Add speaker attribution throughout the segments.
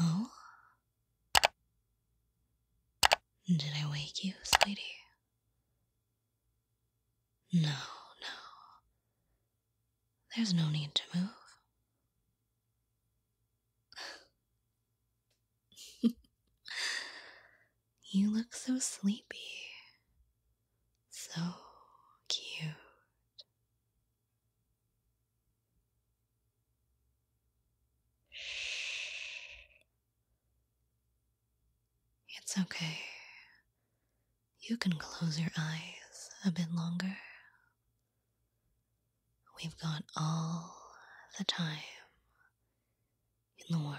Speaker 1: Oh? Did I wake you, sweetie? No, no. There's no need to move. you look so sleepy. So cute. It's okay. You can close your eyes a bit longer. We've got all the time in the world.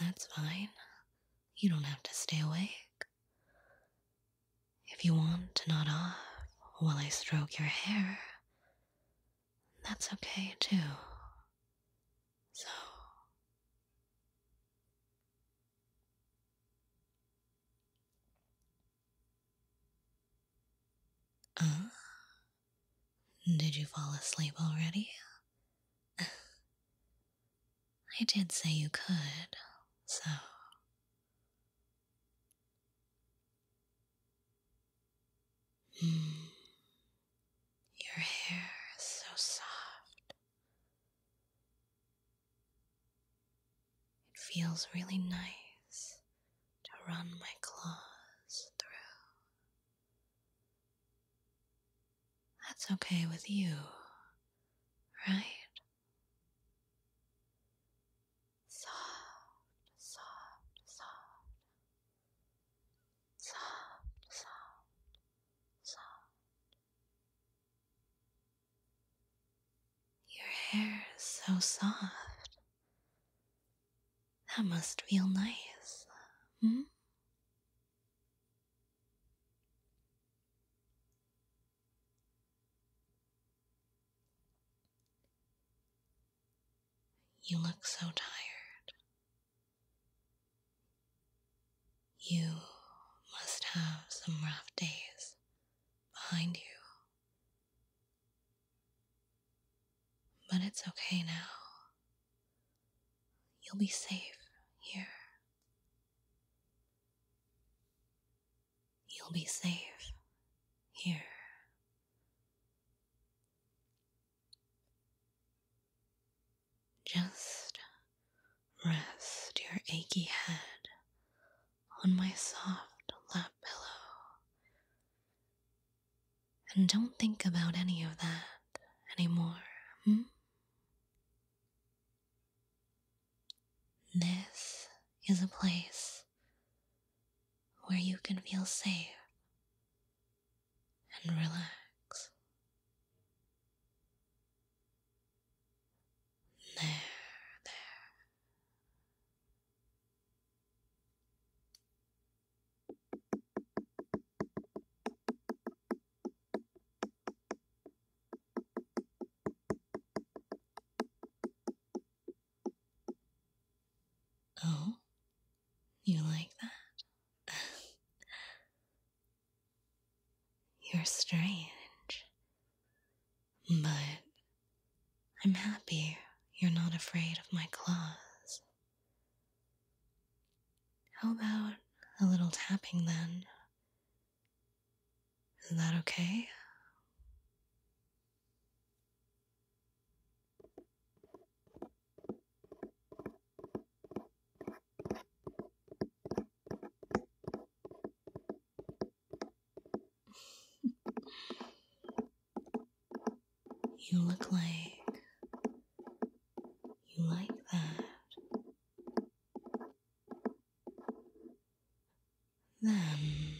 Speaker 1: That's fine. You don't have to stay awake. If you want to nod off while I stroke your hair, that's okay too. So. Uh? Did you fall asleep already? I did say you could, so. Hmm. Your hair is so soft. It feels really nice to run my claws through. That's okay with you, right? Soft, soft, soft. Soft, soft, soft. Your hair is so soft. That must feel nice. Hmm? You look so tired. You must have some rough days behind you. But it's okay now. You'll be safe here. You'll be safe here. Just rest your achy head on my soft lap pillow and don't think about any of that anymore, hmm? This is a place where you can feel safe and relax. There, there. Oh, you like that? You're strange, but I'm happy you're not afraid of my claws. How about a little tapping then? Is that okay? You look like you like that. Then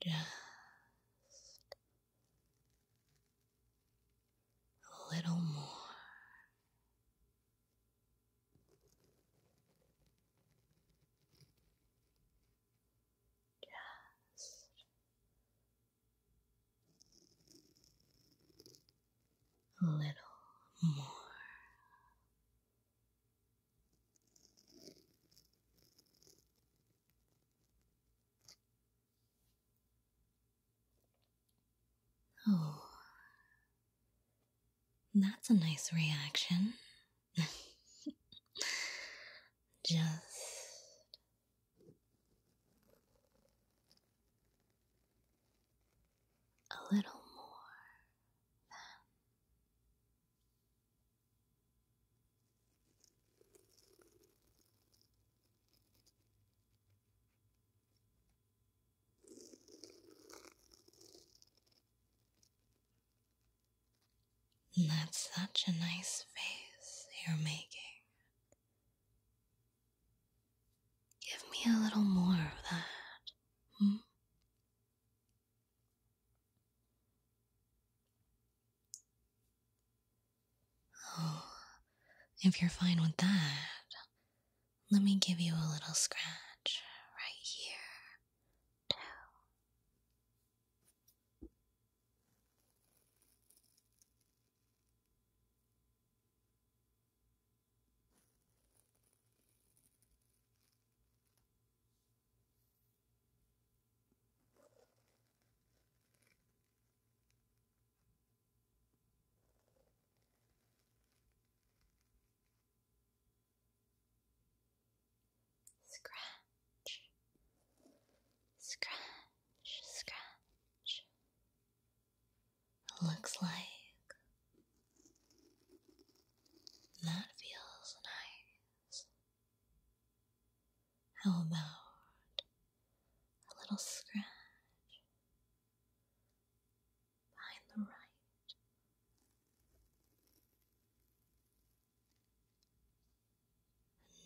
Speaker 1: just a little more. Just a little more. Oh, that's a nice reaction. Just a little more than that's such a nice face you're making. Give me a little more of that. Hmm? Oh, if you're fine with that, let me give you a little scratch right here, too. Scratch, scratch, scratch. Looks like that feels nice. How about a little scratch behind the right?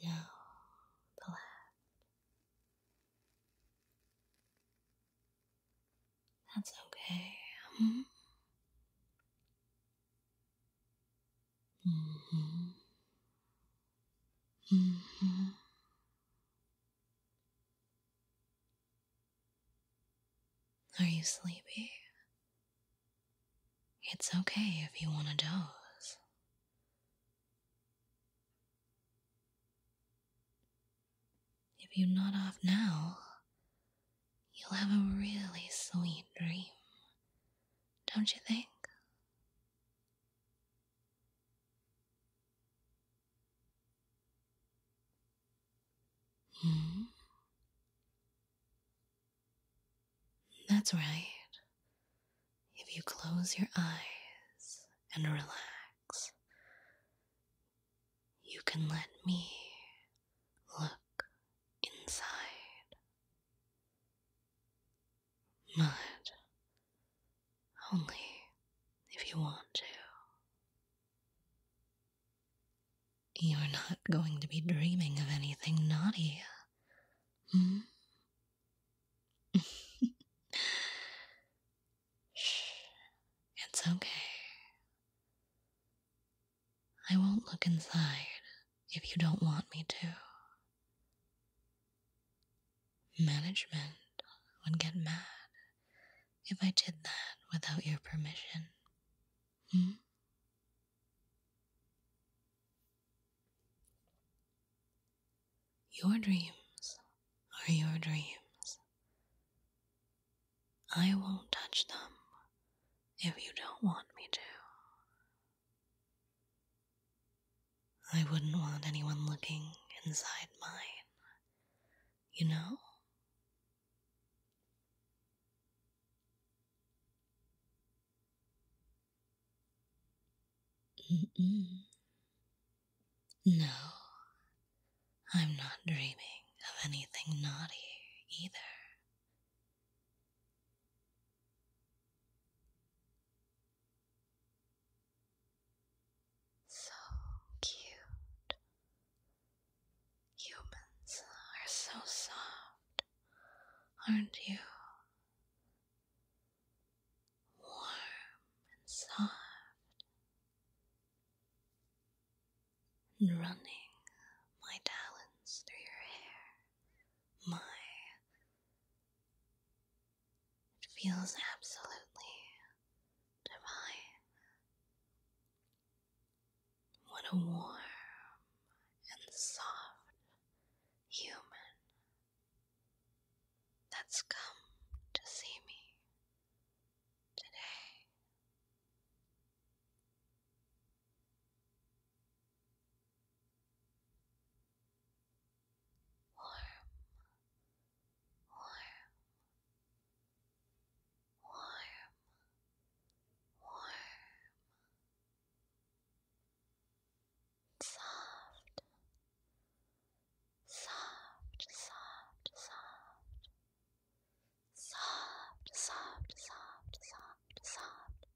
Speaker 1: And the left. That's okay. Mm-hmm. Mm-hmm. Mm-hmm. Are you sleepy? It's okay if you want to doze. If you nod off now, you'll have a really sweet dream, don't you think? Hmm? That's right. If you close your eyes and relax, you can let me look inside. But only if you want to. You're not going to be dreaming of anything naughty, Shh, it's okay. I won't look inside if you don't want me to. Management would get mad if I did that without your permission. Hmm? Your dreams are your dreams. I won't touch them if you don't want me to. I wouldn't want anyone looking inside mine, you know? Mm no, I'm not dreaming of anything naughty either. So cute. Humans are so soft, aren't you? Warm and soft and running my talons through your hair. My. It feels absolutely divine. What a warm and soft human that's come to see me today. Warm, warm, warm, warm, soft, soft, soft, soft, soft, soft, soft, soft, soft.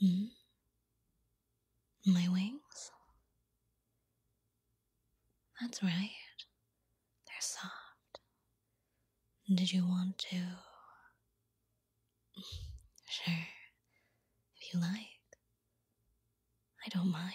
Speaker 1: Hmm? My wings? That's right. They're soft did you want to? Sure, if you like. I don't mind.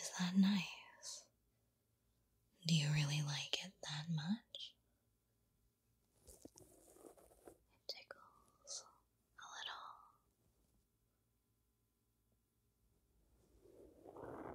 Speaker 1: Is that nice? Do you really like it that much? It tickles a little.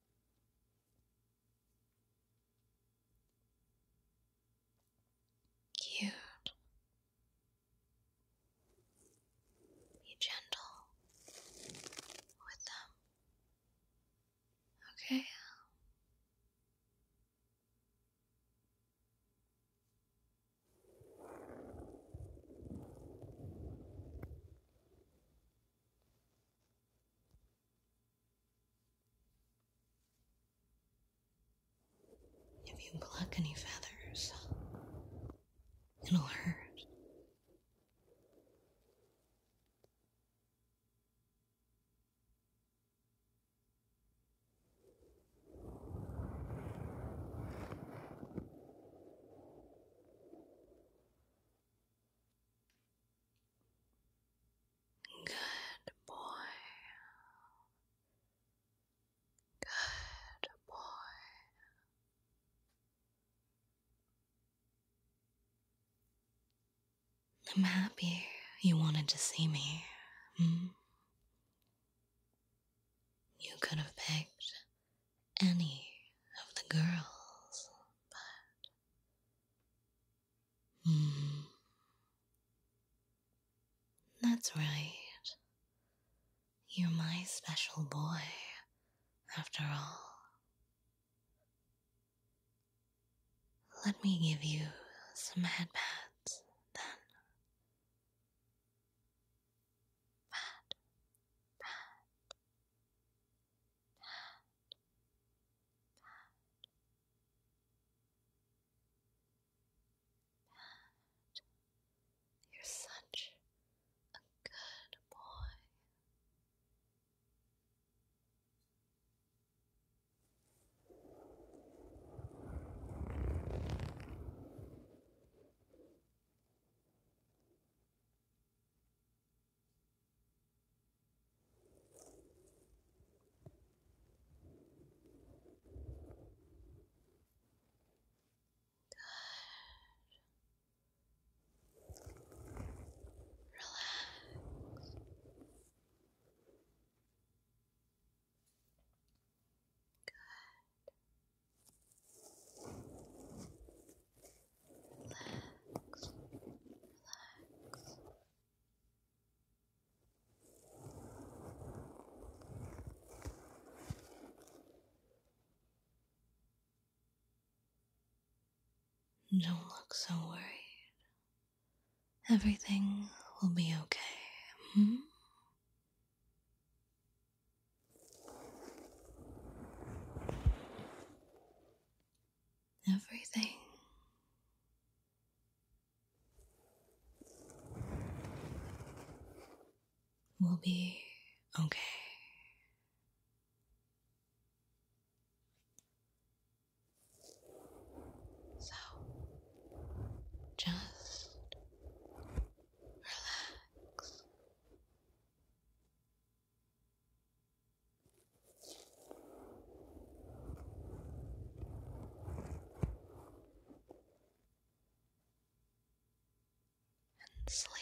Speaker 1: Cute. Be gentle with them. Okay. If you pluck any feathers, it'll hurt. Good boy. Good boy. I'm happy you wanted to see me. Hmm? You could have picked any of the girls, but. Hmm, that's right. You're my special boy, after all. Let me give you some head then. Pat, pat, pat, pat, pat. You're such a good boy. Relax. Good. Relax, relax. Don't look so worried. Everything will be okay. Hmm? Everything. Will be okay. So just relax and sleep.